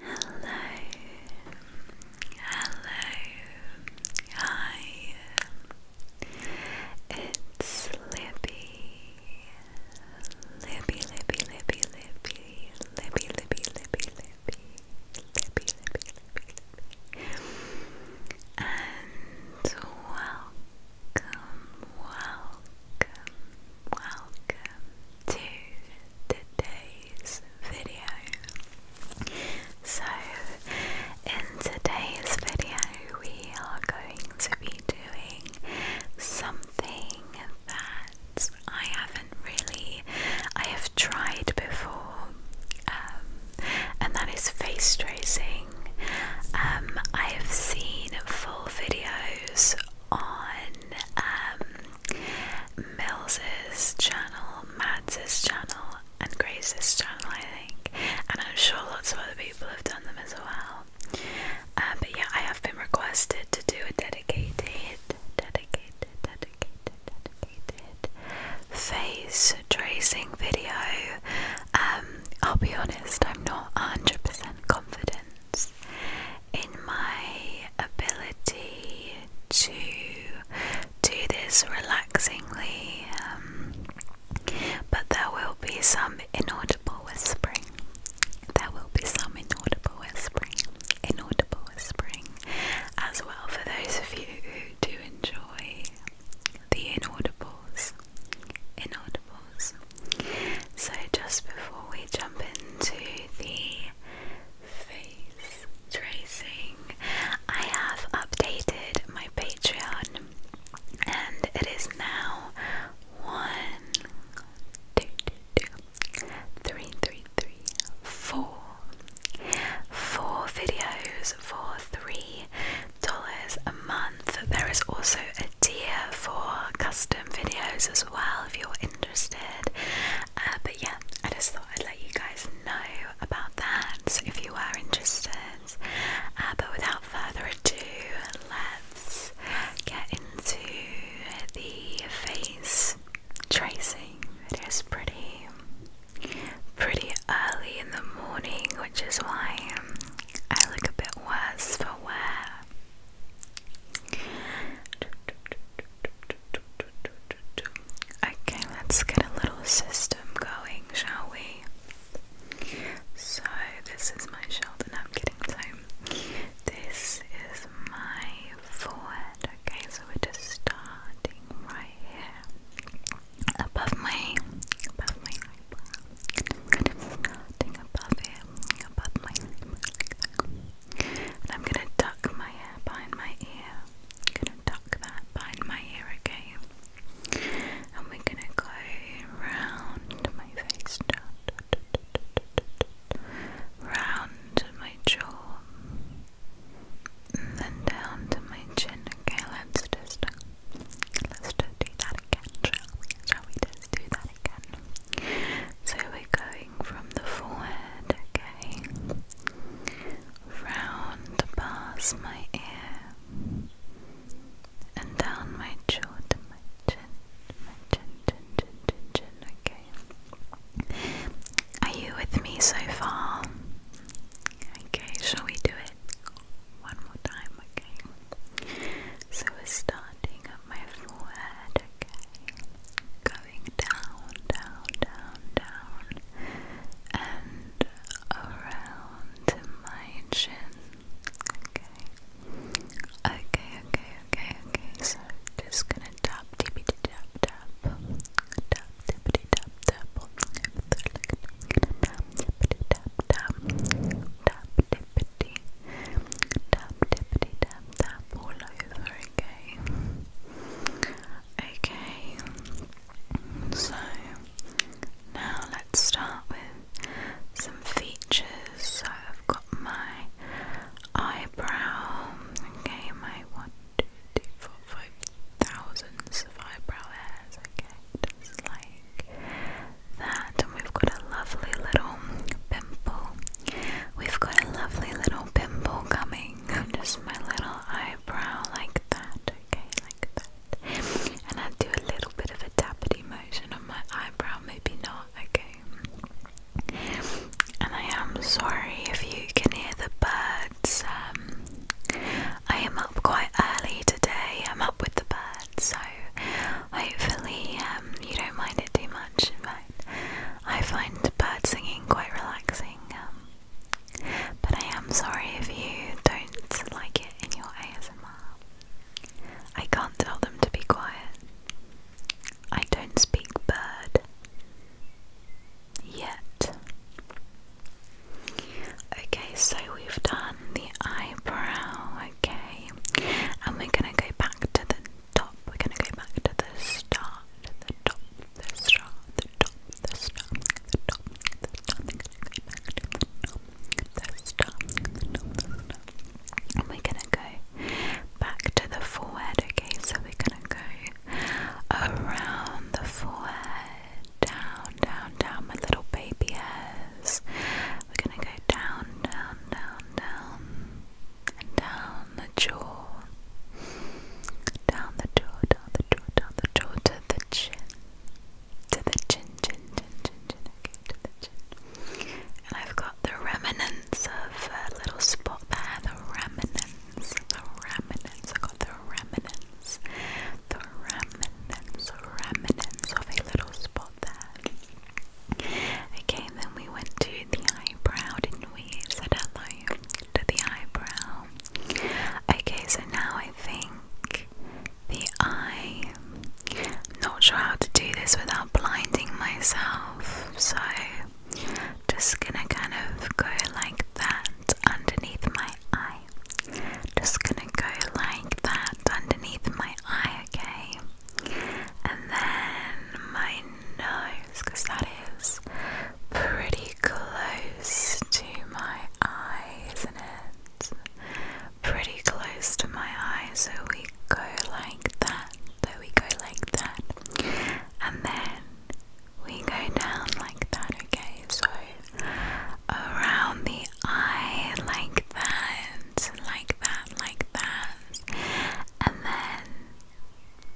Hello, hello, hi. It's Libby, Libby, Libby, Libby, Libby, Libby, Libby, Libby, Libby, and welcome, welcome, welcome to today's video. So, in today's video, we are going to be doing something that I haven't really, I have tried before, um, and that is face tracing. Um, I have seen full videos on um, Mills's channel, Mads's channel, and Grace's channel, I think. And I'm sure lots of other people have done them as well. Uh, but yeah, I have been requested to do a dedicated, dedicated, dedicated, dedicated face tracing video. Um, I'll be honest, I'm not 100% confident in my ability to do this relaxingly, um, but there will be some inaudible whispering. There will be some inaudible whispering, inaudible whispering as well for those of you who do enjoy the inaudibles. Inaudibles. So, just before we jump into the face tracing, I have updated my Patreon and it is now one, two, two, two, three, three, three, four, four videos for three dollars a month. There is also a idea for custom videos as well if you're interested. Uh, but yeah, I just thought I'd let you guys know about that So if you are interested. Uh, but without further ado, let's get into the face tracing. It is pretty, pretty early in the morning, which is why I look a bit worse for wear. Okay, let's get a little system going, shall we? So, this is my shoulder. I'm getting so this is my forehead. Okay, so we're just starting right here above my above my eyebrow. Starting above here. I'm gonna tuck my hair behind my ear. I'm gonna tuck that behind my ear, okay? And we're gonna go round my face, round my jaw, and then down to my chin. Okay, let's just let's just do that again, Shall we just do that again? So we're going from the forehead, okay, round past my ear and down my jaw to my chin, my chin, chin, chin, chin, chin, okay. Are you with me so far? Okay, shall we do it one more time? Okay, so we're starting at my forehead, okay? Going down, down, down, down, and around my chin, okay? Okay, okay, okay, okay, so just gonna tap, tippity tap, tap, tap, tippity tap, tap, tap, tap, tap, tap, tap, tippity tap tippity tap tap all over, okay? Okay, so now let's start with some features. So I've got my eyebrow, okay, my one, two, three, four, five thousands eyebrow hairs, okay, like that. And we've got a lovely little pimple. We've got a lovely little pimple coming. Just my little eyebrow like that. Okay, like that. And I do a little bit of a tappity motion on my eyebrow, maybe not, okay. And I am sorry if you can hear the birds. Um, I am up quite early today. I'm up with the birds, so hopefully uh, um, you don't mind it too much, I find bird singing quite relaxing. Um, but I am sorry if you don't like it in your ASMR. I can't tell them to be quiet. I don't speak bird. Yet. Okay, so we've done on the eyebrow, okay? And we're gonna go back to the top, we're gonna go back to the start, the top, the start, the top, the start, the top, the start, we're gonna go back to the top, the start, the top, the start. And we're gonna go back to the forehead, okay? So we're gonna go around the forehead, down, down, down, my little baby hairs, we're gonna go down, down, down, down, and down the jaw, down the jaw, down the jaw, down the jaw to the chin, to the chin, chin, chin, chin, chin, okay, to the chin. And I've got the remnants of a little spot there. The remnants, the remnants. I got the remnants, the remnants, remnants of a little spot Okay, then we went to the eyebrow, didn't we? Said hello to the eyebrow. Okay, so now I think the eye. not sure how to do this without blinding myself, so just gonna kind of go like that underneath my eye. Just gonna go like that underneath my eye, okay? And then my nose, because that is pretty close to my eye, isn't it? Pretty close to my eye, so we go like that, so we go like that, and then we go down like that, okay? So around the eye, like that, like that, like that, and then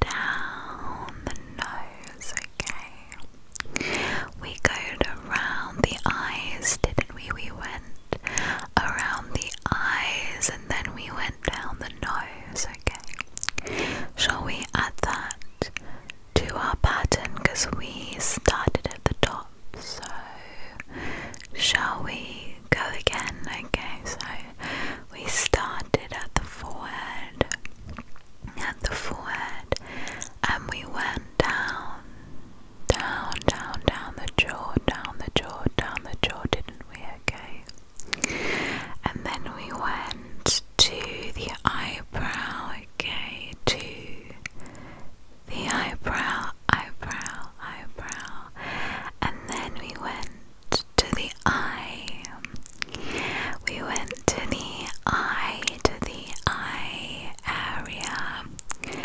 down the nose, okay? We go around the eyes, didn't we? We went around the eyes and then we went down the nose, okay? Shall we add that to our pattern? Because we started at the top. So, shall we go again? Okay, so we started at the forehead, at the forehead, and we went down, down, down, down the jaw, down the jaw, down the jaw, didn't we? Okay. And then we went to the eyebrow, okay, to the eyebrow, eyebrow, eyebrow, and then we went to the eye. We went to the eye, to the eye area,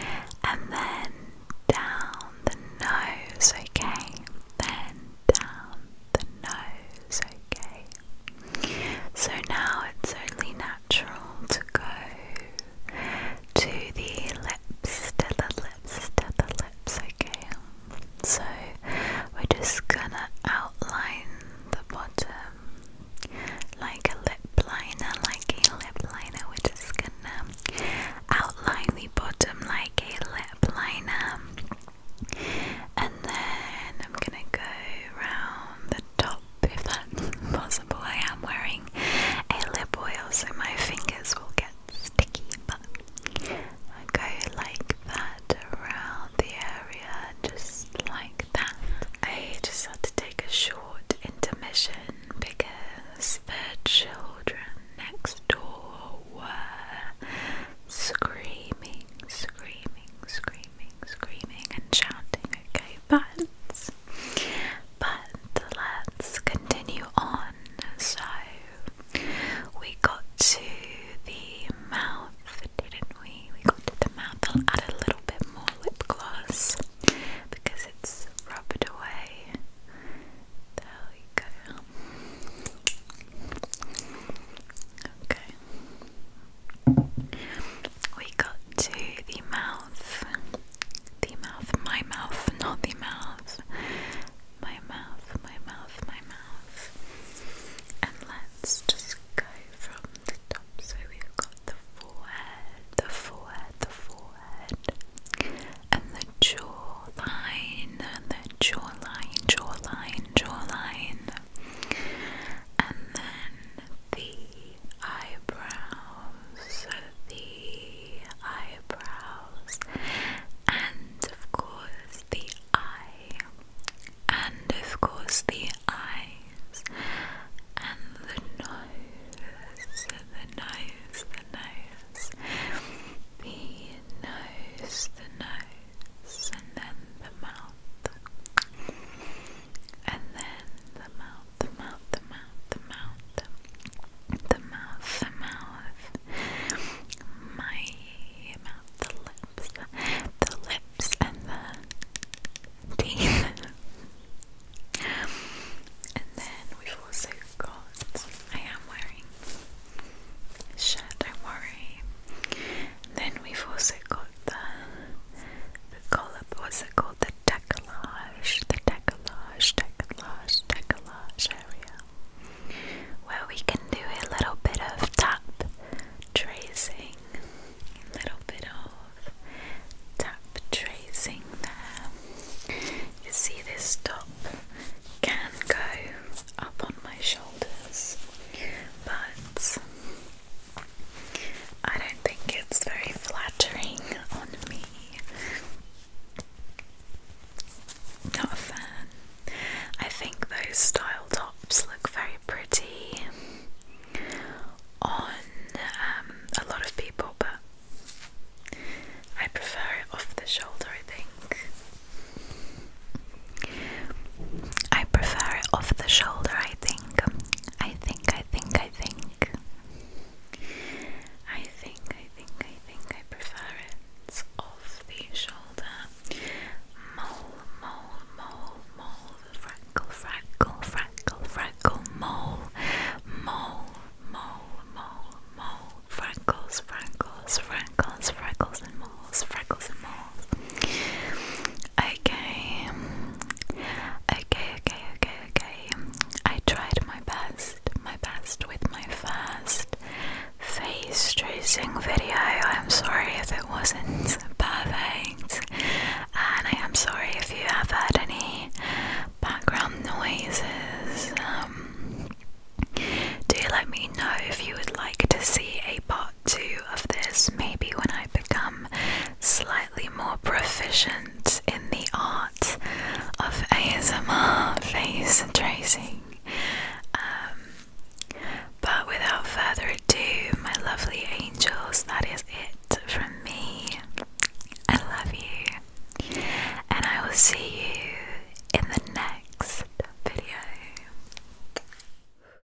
and then down the nose, okay? Then down the nose, okay? So now it's only natural to go to the lips, to the lips, to the lips, okay? So we're just gonna outline the bottom like a lip liner, like a lip liner. We're just gonna outline the bottom like a lip liner. And then I'm gonna go around top if that's possible. I am wearing a lip oil so my fingers will get sticky, but I go like that around the area, just like that. I just had to take a short intermission because the children next door were screaming, screaming, screaming, screaming, and shouting, okay? But but let's continue on. So we got to the mouth, didn't we? We got to the mouth. I'll add a little bit more lip gloss because it's rubbed away. There we go. Okay. We got to the mouth. The mouth, my mouth, not the mouth. My mouth, my mouth, my mouth. And let's just go from the top. So we've got the forehead, the forehead, the forehead, and the jawline, and the jawline, jawline, jawline. And then the eyebrows, the eyebrows, and of course the eye, and of course the eyes, and the nose, the nose, the nose, the nose, the nose, and then the mouth and then the mouth, the mouth, the mouth, the mouth, the mouth, the mouth, my mouth, the lips, the lips, and the teeth. and then we've also got, I am wearing a shirt, don't worry. then we've also got about the the color what's it called? The decollage, the decollage, decollage, decollage area. Where we can do a little bit of tap tracing. little bit of tap tracing there. You see this top can go up on my shoulders, but I don't think it's very flattering on me. Not a fan. I think those style tops look very pretty on um, a lot of people, but I prefer it off the shoulder, I think. I prefer it off the shoulder, I think. I think, I think, I think. I think, I think, I think I prefer it off the shoulder. Mole, mole, mole, mole, freckle, freckle, freckle, freckle, mole, mole, mole, mole, mole, freckles, freckles, freckles, freckles and moles, freckles and moles. Okay. Okay, okay, okay, okay. I tried my best, my best with my first face tracing video. I'm sorry if it wasn't perfect. And I am sorry if you have had any background noises. Um, do let me know if you would like to see a part two of this, maybe when I become slightly more proficient in the art of ASMR face tracing. Um, but without further ado, my lovely angels, that is it from me. I love you, and I will see you in the next video.